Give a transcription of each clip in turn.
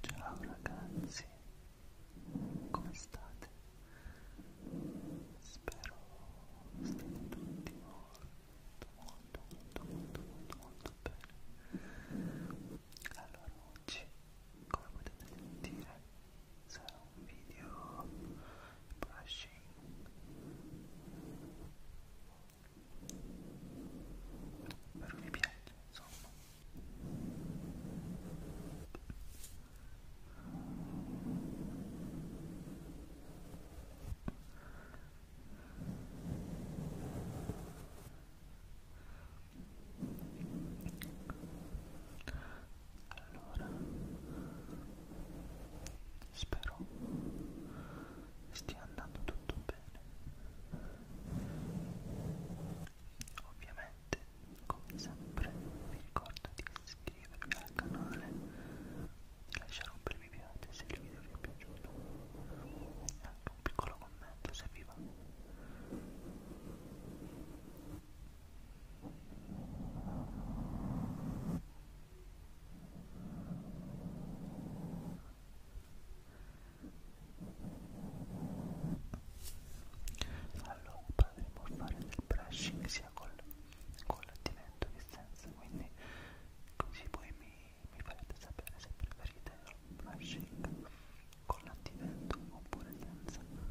Ciao ragazzi, come state? Spero stiate tutti molto molto molto molto molto molto bene allora oggi come potete sentire sarà un video brushing però mi piace insomma allora, spero stia andando tutto bene. Ovviamente, come sempre, vi ricordo di iscrivervi iscrivervi al canale lasciare un bel mi piace se il video vi è piaciuto e anche un piccolo commento se vi va allora potremmo fare del brushing sia sia col, col l'attivento che senza, quindi così poi mi, mi farete sapere se preferite il brushing con l'attivento oppure senza. Ecco,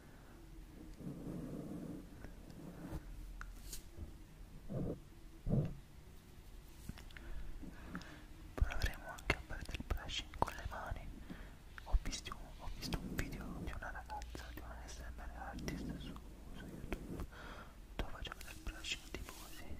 Proveremo anche a fare del brushing con le mani. Ho visto, ho visto un video di una ragazza, di una SMR artist su, su YouTube dove faceva del brushing tipo così.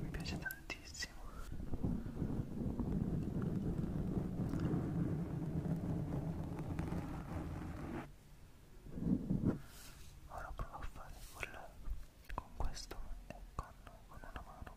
mi piace tantissimo ora provo a fare col, con questo e con, con una mano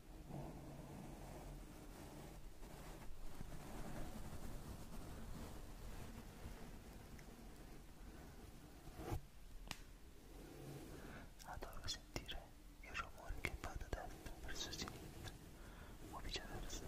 Adoro sentire il rumore che va da destra verso sinistra o viceversa.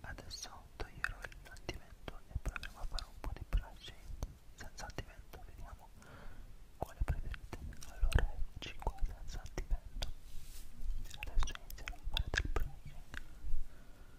Adesso toglierò l'attivento e proveremo a fare un po' di brushing senza attivento, vediamo quale preferite. Allora, 5 senza attivento. Adesso inizierò a fare del brushing.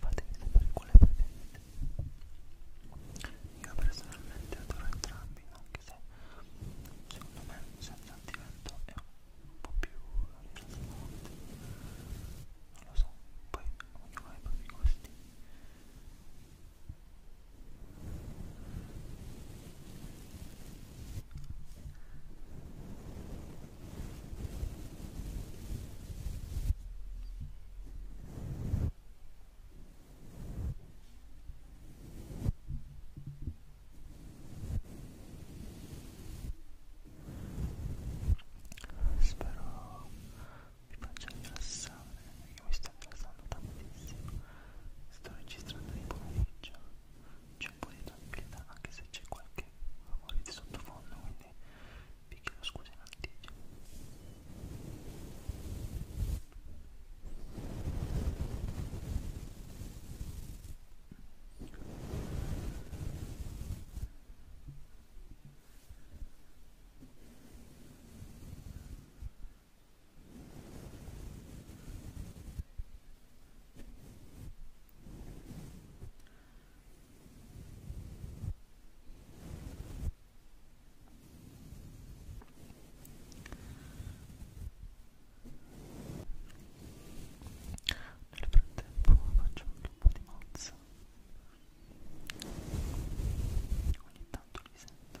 Fatemi sapere quale preferite. Io personalmente adoro entrambi, anche se secondo me senza antivento è un po' più rilassante. Non lo so, poi ognuno ha i propri gusti. Spero vi faccia rilassare perché mi sta rilassando tantissimo. Sto registrando di pomeriggio c'è un po' di tranquillità anche se c'è qualche rumore di sottofondo quindi vi chiedo scusa in anticipo Ecco nel frattempo faccio anche un po' di mozza. Ogni tanto li sento.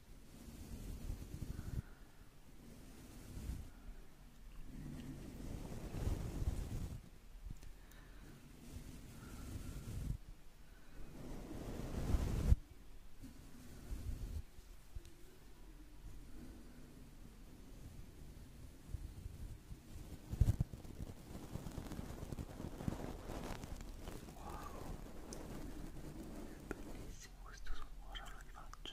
Wow, è bellissimo questo suono, ora lo rifaccio.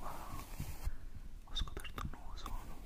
Wow, ho scoperto un nuovo suono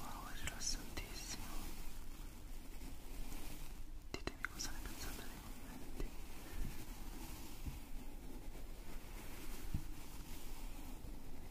Wow, è rilassantissimo. Ditemi cosa ne pensate nei commenti.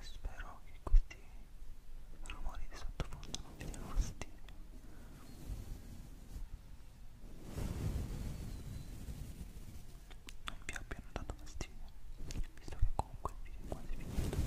Spero che questi rumori di sottofondo non vi diano fastidio. Non vi abbiano dato fastidio, visto che comunque il video è quasi finito.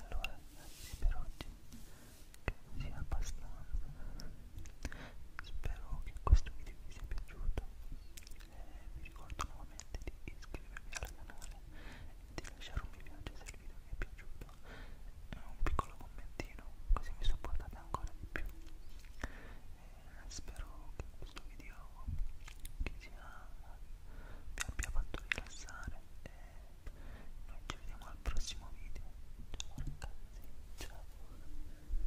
Allora, ragazzi, per oggi che sia abbastanza. Spero che questo video vi sia piaciuto eh, vi ricordo nuovamente di iscrivervi al canale e di lasciare un mi piace se il video vi è piaciuto e eh, un piccolo commentino così mi supportate ancora di più e eh, spero che questo video che sia, vi abbia fatto rilassare e noi ci vediamo al prossimo video ciao ragazzi ciao